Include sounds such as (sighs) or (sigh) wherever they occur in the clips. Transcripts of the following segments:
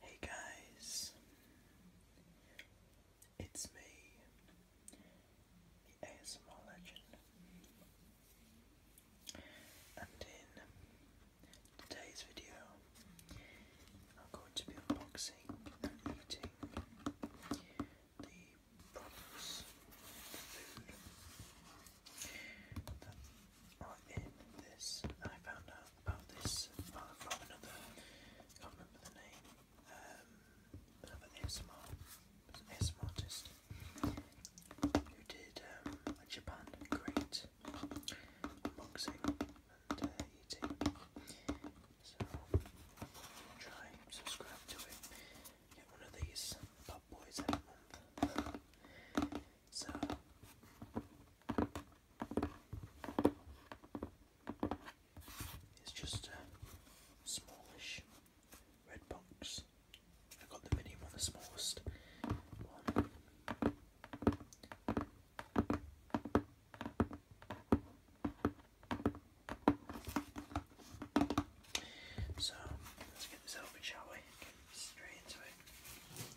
Hey guys, it's me, the ASMR legend, and in today's video, I'm going to be unboxing and eating the products, the food or in this, I found out about this from another, I can't remember the name, um, another ASMR, artist who did um, a Japan great unboxing uh, So try subscribe to it. Get one of these pop boys so it's just a smallish red box. I got the mini one, the smallest one. So let's get this open, shall we? straight into it.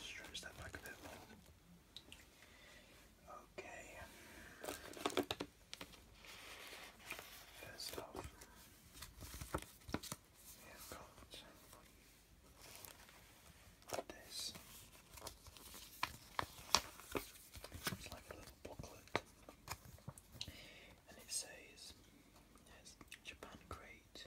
Stretch that back a bit more. Okay. First off, we have got this. It's like a little booklet, and it says, Japan Crate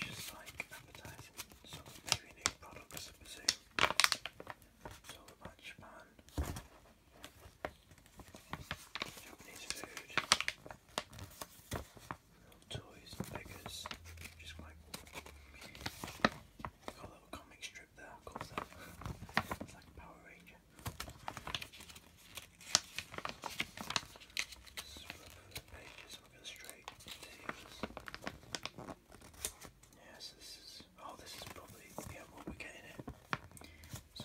Just like appetizing, so maybe new products to pursue. So about Japan, Japanese food, little toys and figures, just quite cool. Got a little comic strip there, It's like Power Ranger. Oh, this is probably yeah what we're getting at. So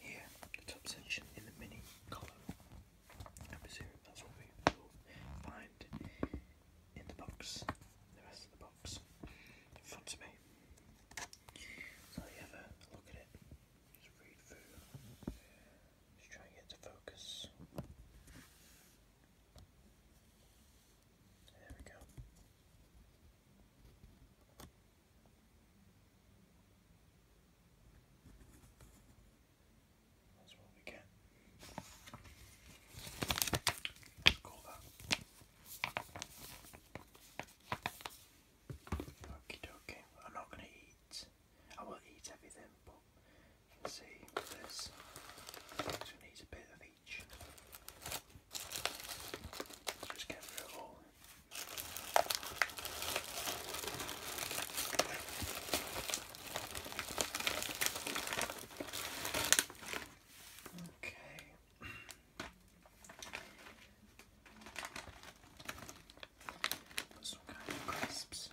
here, the top section in the mini column. I'm that's what we find in the box. The rest of the box front of me. So you have a look at it. Just read through. Just try and get to focus. There we go. That's what we get. Call that. Okie I'm not going to eat. I will eat everything, but you can see there's. So needs a bit of each. Just get through it all. Okay. some kind of crisps is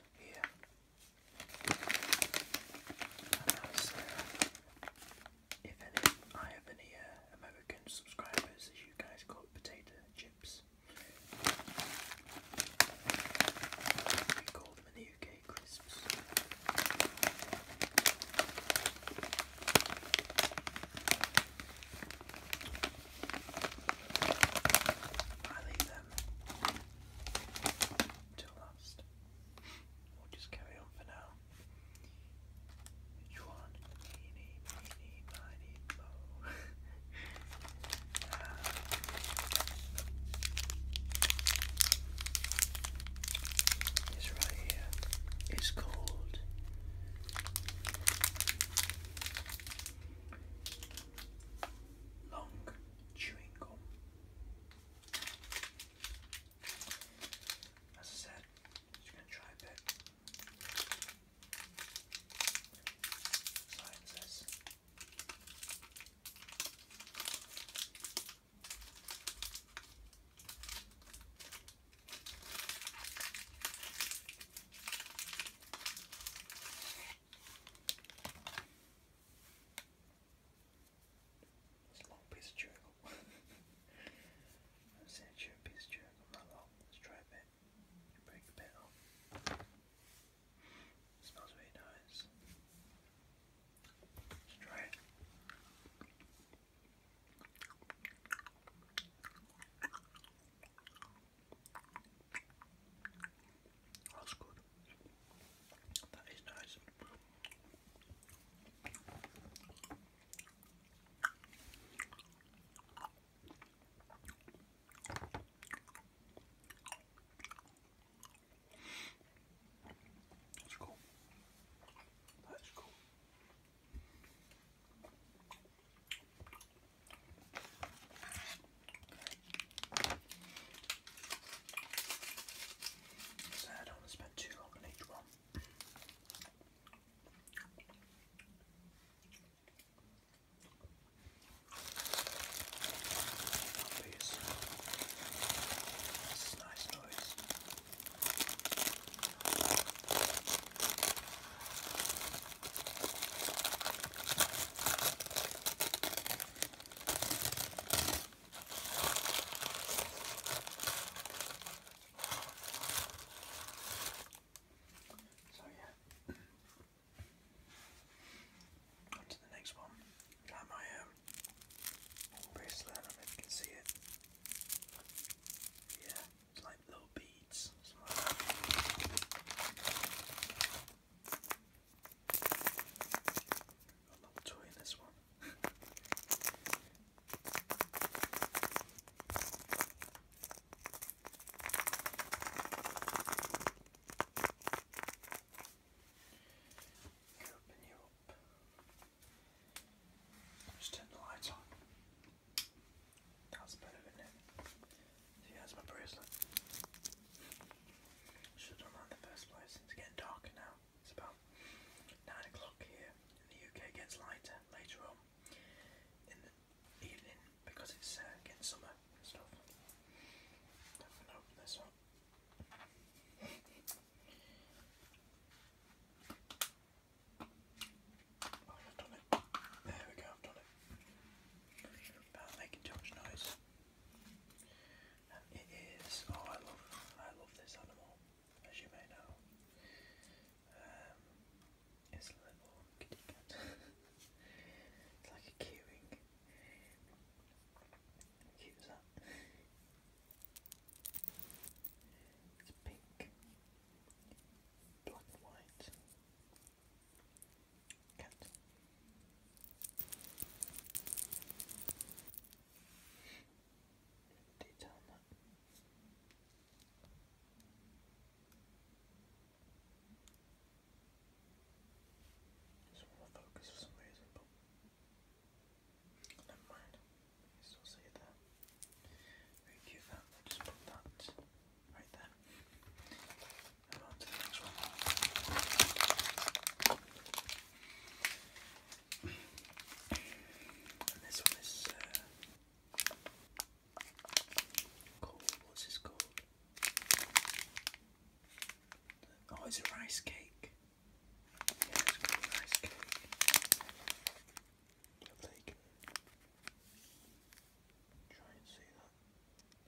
if any, I have any uh, American subscribers, as you guys call potato chips. We call them in the UK crisps. I leave them till last. We'll just carry on for now. Which one? Meeny, miny, mo. it's right here. It's called long chewing gum. As I said, I'm going to try a bit. Science it's a long piece of chewing gum. i a piece of chewing gum that long. Let's try a bit. Break a bit off. smells really nice. Let's try it. That's good. That is nice. That's cool. That is cool. So I don't spend too long on each one. nice noise. So yeah, on the next one. Got my um, bracelet, I do you can see it. Yeah, it's like little beads, a lot of toy this one. Open you up. Just turn the light on. That's better, isn't it? See, that's my bracelet. Should have in the first place. It's getting darker now. It's about 9 o'clock here. And the UK gets lighter later on in the evening because it's uh, getting summer and stuff. open this up. I've done it. There we go, I've done it about making too much noise. it is. Oh, I love. I love this animal, as you may know. Um, it's a little kitty cat. (laughs) it's like a keyring. How cute is that? It's pink, black and white. Cut. Detail that. Just want to focus for some reason, but never mind. You still see it there. Very cute that. that right there. on to the next one. And this one is uh, called, what's this called? Oh, it's a rice cake. Yeah, it's called a rice cake. Try and see that.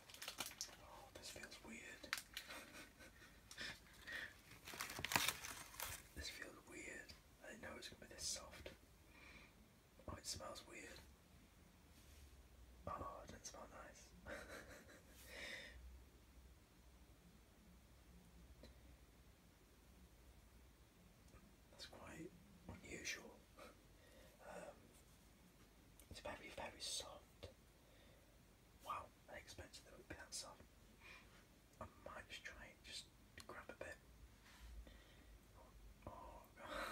Oh, this feels weird. this feels weird. I know it gonna be this soft. Oh, it smells weird. Oh, it doesn't smell nice. (laughs) That's quite unusual. Um, it's very, very soft. Wow, I expected it would be that soft. I might just try it, just grab a bit. Oh, God.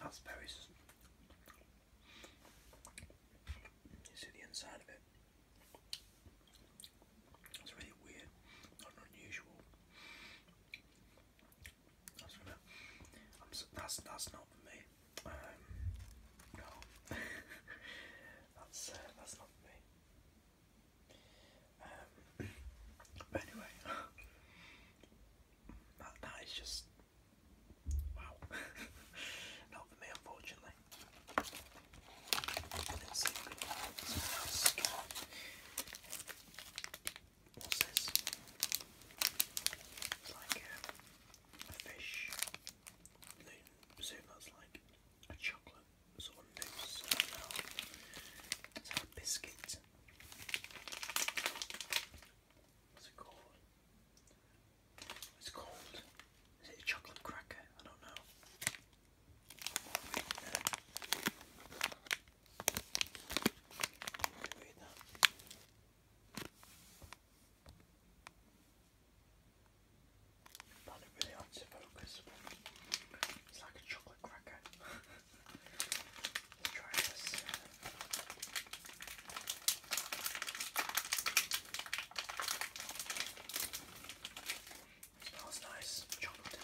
That's very. see the inside of it. It's really weird, not unusual. That's that's that's not for me. Um, no, (laughs) that's uh, that's not for me. Um, but anyway, (laughs) that that is just wow. (laughs) not for me, unfortunately family. And It's like a, fish. They assume that's like a chocolate sort of biscuit. What's it called? it's called. Is it a chocolate cracker? I don't know. Found it really hard to focus. It's like a chocolate cracker. Let's (laughs) try this. Smells nice. Chocolate.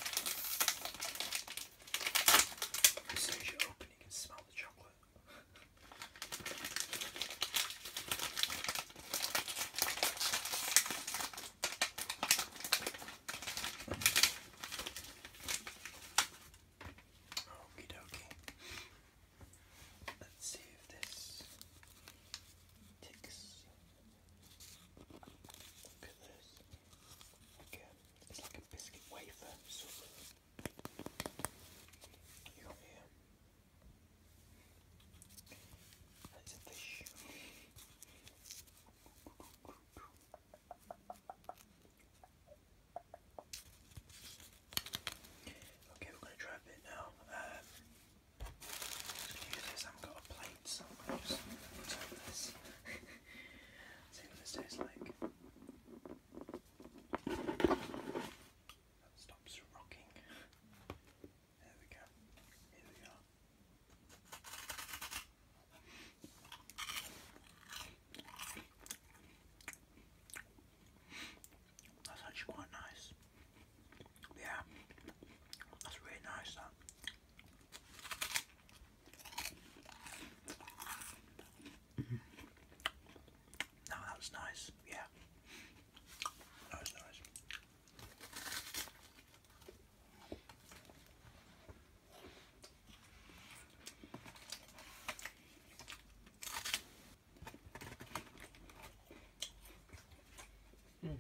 As soon as you open, you can smell the chocolate. Okie dokie. Let's see if this ticks. Look at this. Like a, it's like a biscuit wafer here. And it's fish. Okay, we're going to try a now. Um, I've got a plate, so I'm just going this. (laughs) See what this tastes like. That stops rocking. There we go. Here we are. That's actually quite nice. Yeah, that's really nice. That. Mm-hmm. Now that's nice. Yeah, that nice. Mm.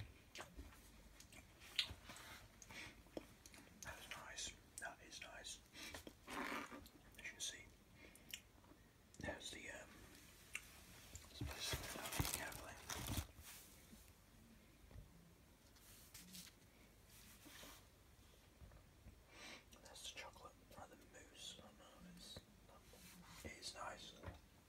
That is nice. That is nice. As you can see, there's the um, let's That's the chocolate, or the mousse. I do It's, it is nice.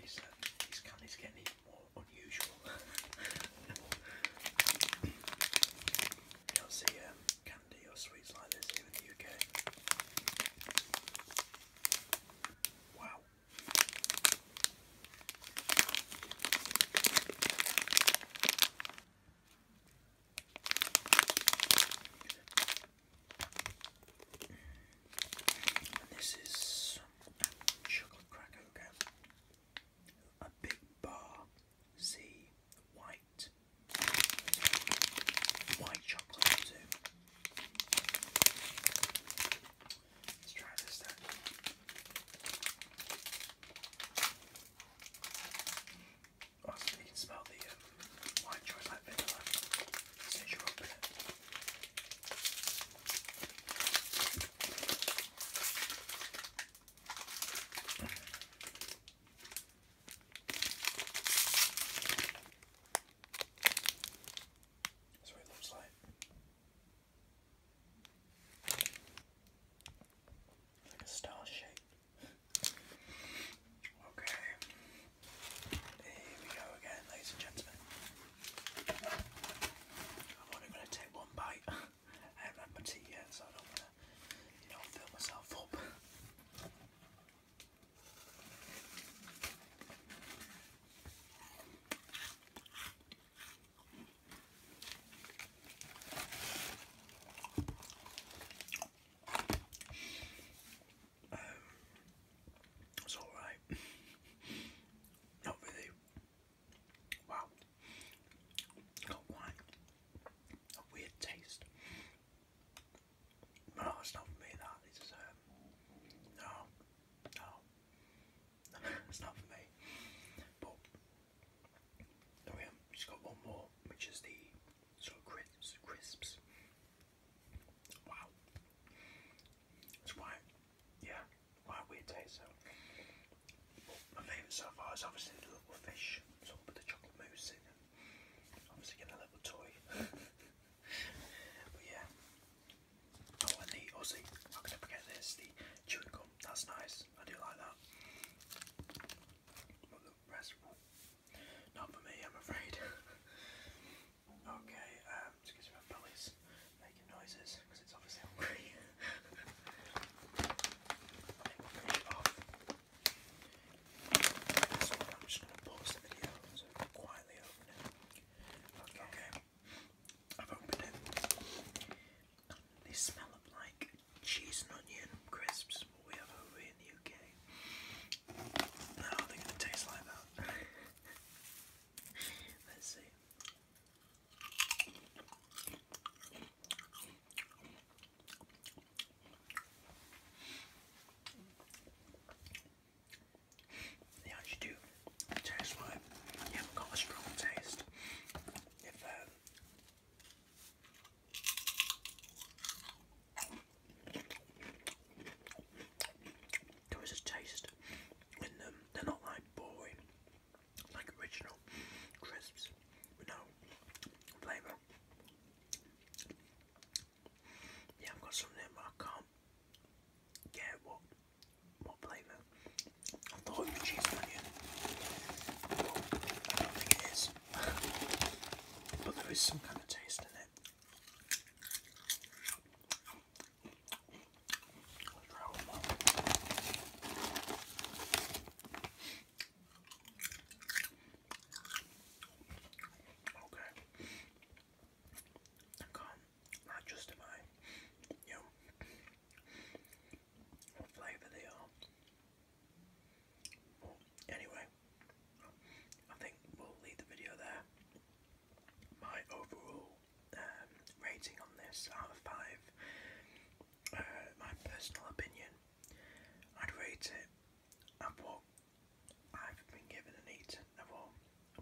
These, uh, these candies getting even more unusual. you (laughs) don't see um, candy or sweets like this here in the UK. Wow this is chocolate cracker. A big bar, see white, white chocolate Let's try this also, oh, you can smell the um, white chocolate vanilla That's what it looks like. like a star shape. Okay. Here we go again, ladies and gentlemen. I'm only going to take one bite. I haven't had my tea yet, so I don't want to, you know, fill myself up. Um, it's alright. Not really. Wow. Got wine. A weird taste. No, it's not for me that. It's um, no, no. (laughs) it's not for me. But Oh yeah, just got one more, which is the sort of crisps. Wow, that's quite, yeah, quite weird taste. So, my favourite so far is obviously the little fish, sort of with the chocolate mousse in, obviously getting a little toy. (laughs) but yeah, oh, and the Aussie. How can I forget this? The chewing That's nice. I do like that. Not for me, I'm afraid. (laughs) okay, um, excuse my belly's making noises because it's obviously (laughs) hungry. quietly open Okay. I've opened it. They smell up like cheese and onion crisps we have over in the UK. No, I don't think like that. (laughs) Let's see. They actually do taste like you got a strong taste. If um, there is a taste in them. They're not like boring, like original crisps, no flavour. Yeah, I've got something, but I can't get what what flavour. I thought it was cheese but I don't think it is but there is some kind of taste in it. Okay. I can't justify you know, what flavour they are. Anyway, I think we'll leave the video there. My overall um, rating on this out of 5, uh, my personal opinion, I'd rate it at what I've been given and eaten, and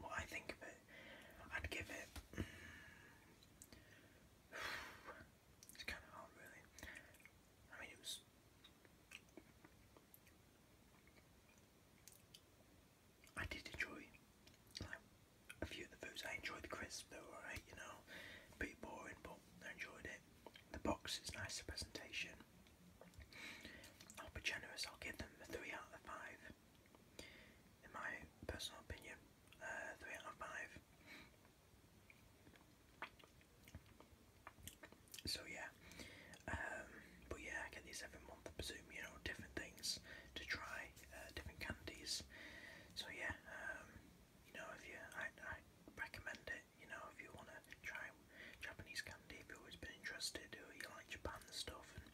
what I think of it. I'd give it. (sighs) it's kind of hard, really. I mean, it was. I did enjoy a few of the foods. I enjoyed the crisps, though. were you know. A bit boring, but I enjoyed it. The box is nice, the presentation. I'll be generous, I'll give them a 3 out of 5. In my personal opinion, uh, 3 out of 5. So yeah, um, but yeah, I get these every month. I presume you know different things to try, uh, different candies. So yeah, um, you know if you, I, I recommend it. You know if you want to try Japanese candy, if you've always been interested, or you like Japan stuff, and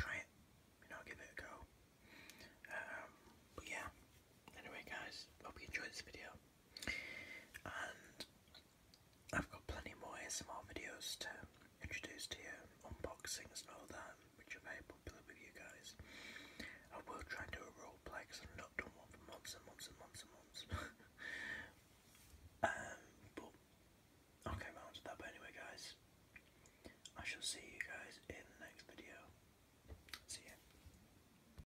try it. You know, give it a go. Um, but yeah. Anyway, guys, hope you enjoyed this video and I've got plenty more ASMR videos to introduce to you, unboxings and all that, which are very popular with you guys. I will try and do a roleplay because I've not done one for months and months and months and months. (laughs) um, but I'll get around to that. But anyway, guys, I shall see you guys in the next video. See ya.